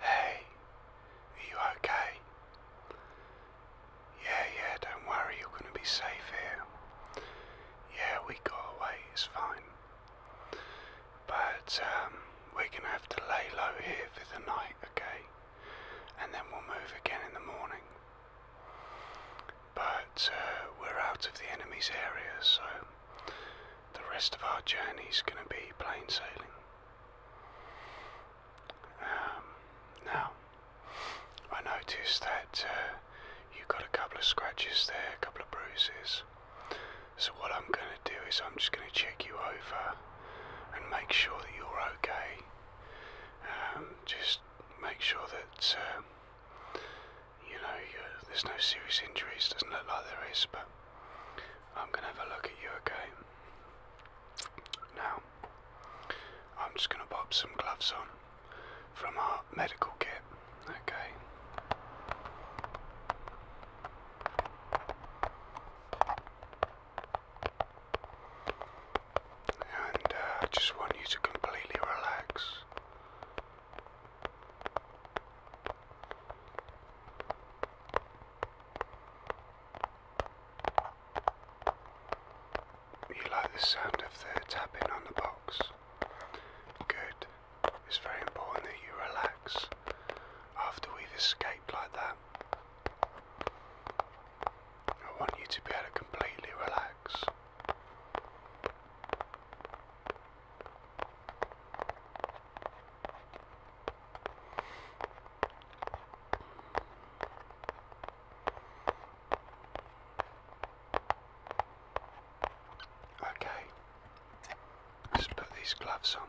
Hey, are you okay? Yeah, yeah, don't worry, you're going to be safe here. Yeah, we got away, it's fine. But um, we're going to have to lay low here for the night, okay? And then we'll move again in the morning. But uh, we're out of the enemy's area, so the rest of our journey's going to be plain sailing. Um, now, I noticed that uh, you got a couple of scratches there, a couple of bruises. So, what I'm going to do is I'm just going to check you over and make sure that you're okay. Um, just make sure that, uh, you know, there's no serious injuries. Doesn't look like there is, but I'm going to have a look at you, okay? Now, I'm just going to pop some gloves on from our medical kit, okay? And uh, I just want you to completely relax. You like the sound of the tapping on the box? Good. It's very important that you relax after we've escaped like that. I want you to be able to completely relax. Okay, let put these gloves on.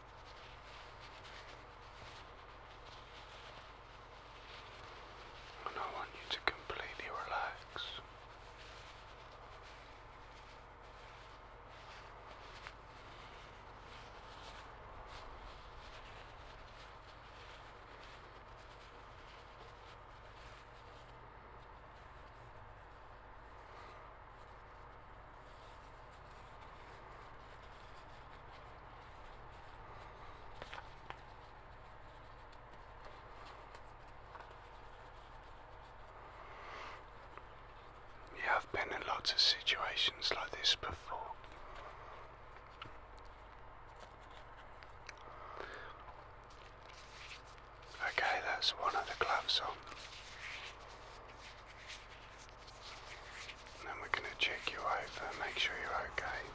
And I want you to completely relax. You have been in lots of situations like this before. Okay, that's one of the gloves on. And then we're going to check you over, make sure you're okay.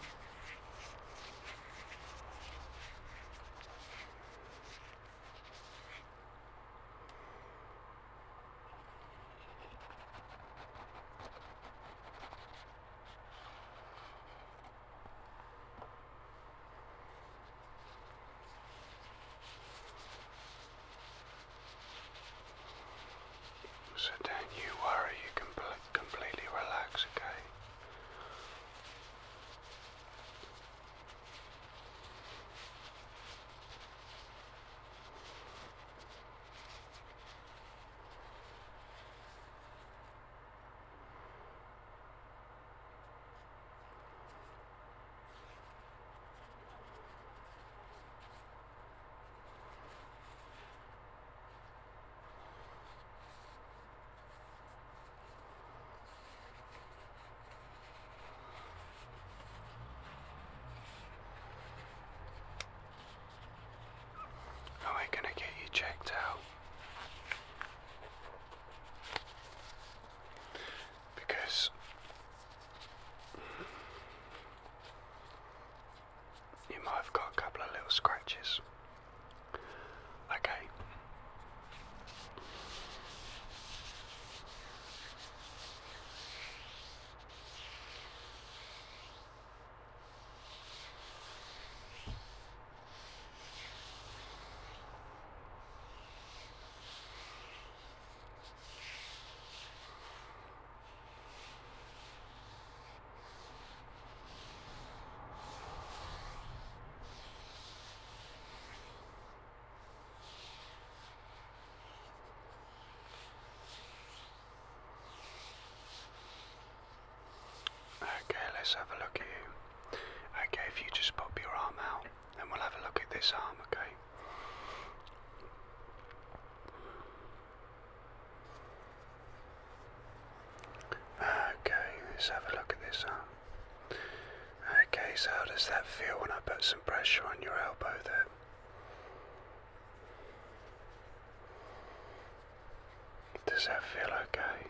So don't you worry, you can completely relax, okay? Are we going to get you checked out? Because you might have got a couple of little scratches. Okay. Okay, let's have a look at you. Okay, if you just pop your arm out, then we'll have a look at this arm, okay? Okay, let's have a look at this arm. Okay, so how does that feel when I put some pressure on your elbow there? Does that feel okay?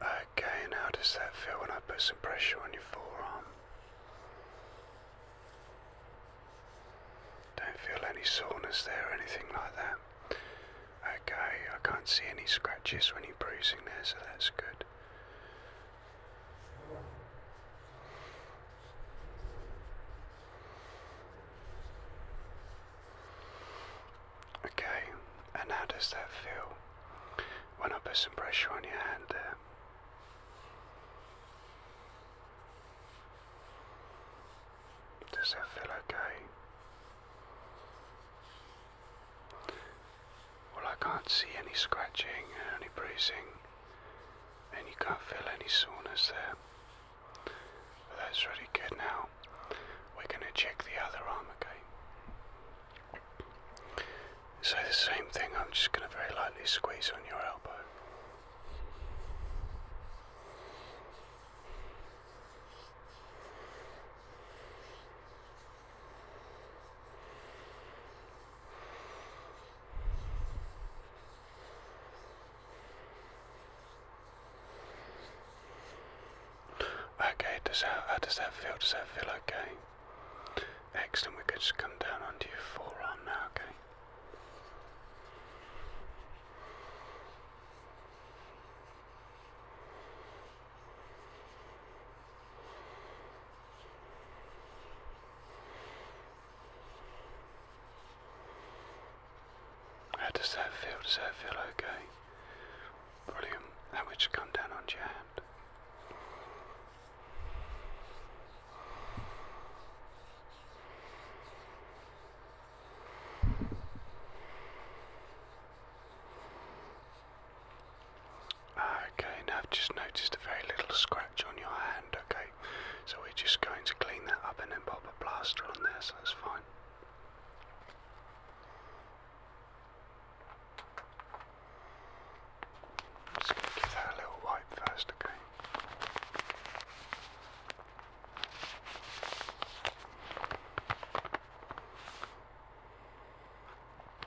Okay, and does that feel when I put some pressure on your forearm? Don't feel any soreness there or anything like that. Okay, I can't see any scratches when you bruising there, so that's good. Okay, and how does that feel when I put some pressure on your hand there? Does that feel okay? Well, I can't see any scratching any bruising and you can't feel any soreness there. that's really good now. We're going to check the other arm, again. So the same thing, I'm just going to very lightly squeeze on your elbow. Okay, does that, how uh, does that feel? Does that feel okay? Excellent, we could just come down onto your forearm now, okay? How does that feel? Does that feel okay? Brilliant. Now we come down onto your hand. Okay, now I've just noticed a very little scratch on your hand, okay? So we're just going to clean that up and then pop a plaster on there, so that's fine. Just give that a little wipe first, okay?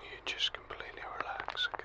You just completely relax, okay?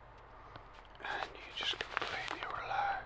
and you just completely relax.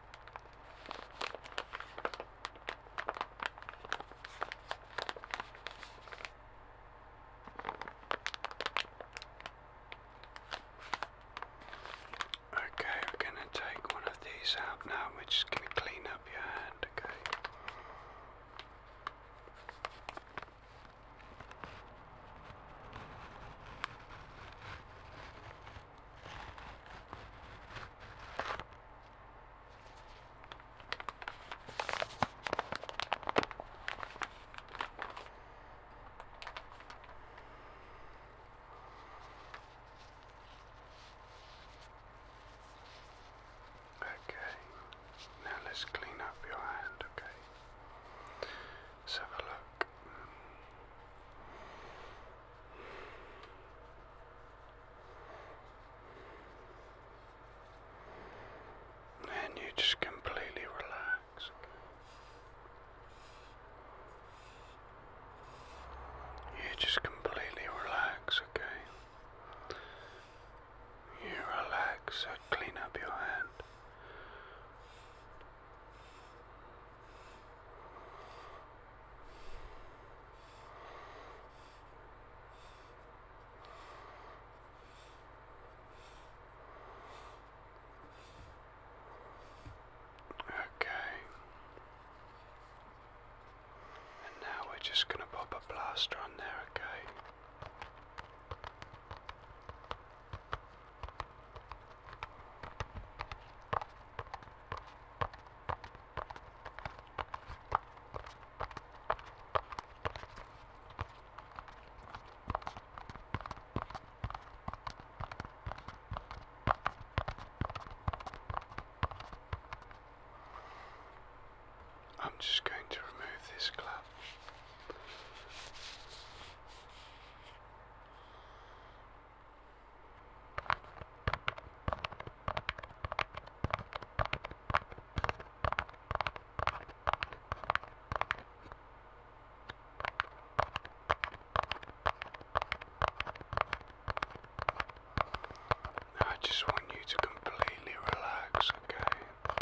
Okay, we're going to take one of these out now. We're just going to clean up your hand, okay? Okay, now let's clean up your hand, okay? Let's have a look. And you just completely relax. You just completely relax, okay? You relax, so clean up your hand. Okay. And now we're just going to pop a plaster on there, okay? I'm just going to remove this glove. I just want you to completely relax, okay?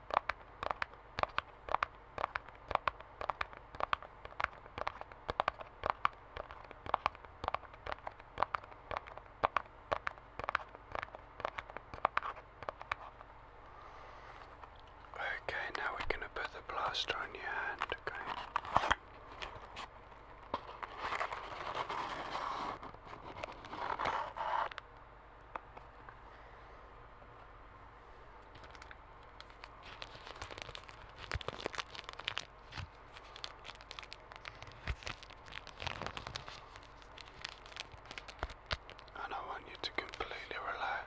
Okay, now we're going to put the plaster on your hand, okay? And I want you to completely relax.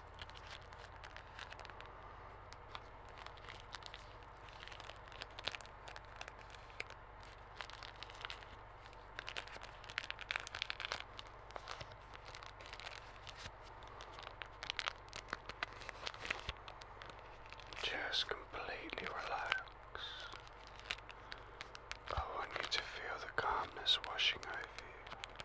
Just completely relax. I want you to feel the calmness washing over you.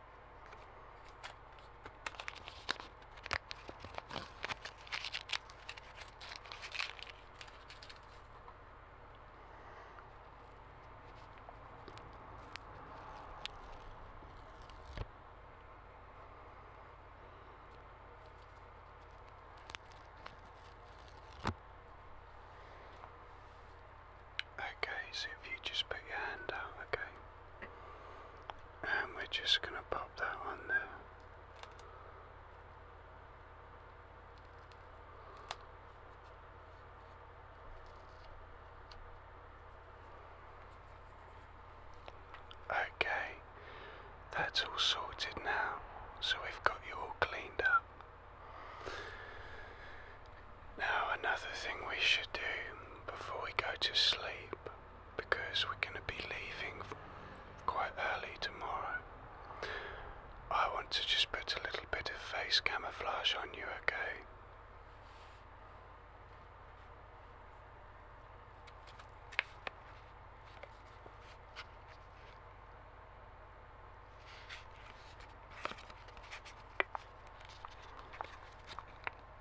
Okay, so if you just put your hand out, okay and we're just going to pop that on there. Okay, that's all sorted now, so we've got you all cleaned up. Now, another thing we should do before we go to sleep, because we're going to be leaving quite early tomorrow, I want to just put a little bit of face camouflage on you, okay?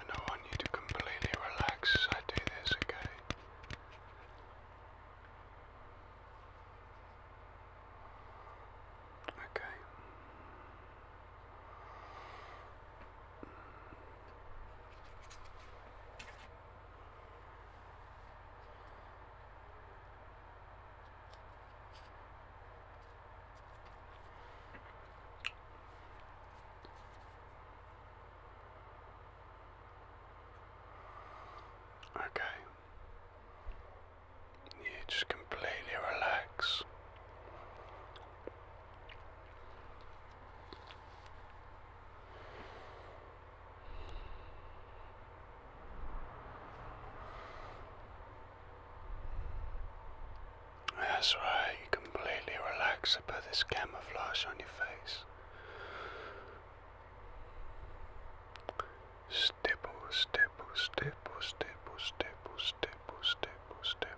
I want you to completely relax I do this, okay? Okay. Okay. You just completely relax. That's right, you completely relax and put this camouflage on your face. Stipple, stipple, stipple, stipple, stipple, stipple, stipple,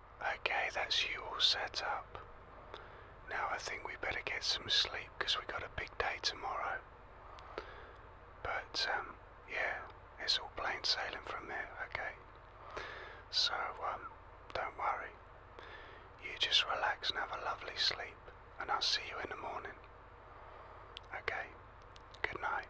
Okay, that's you all set up. Now I think we better get some sleep because we got a big day tomorrow. But um, yeah, it's all plain sailing from there, okay? So um, don't worry. You just relax and have a lovely sleep, and I'll see you in the morning. Okay, good night.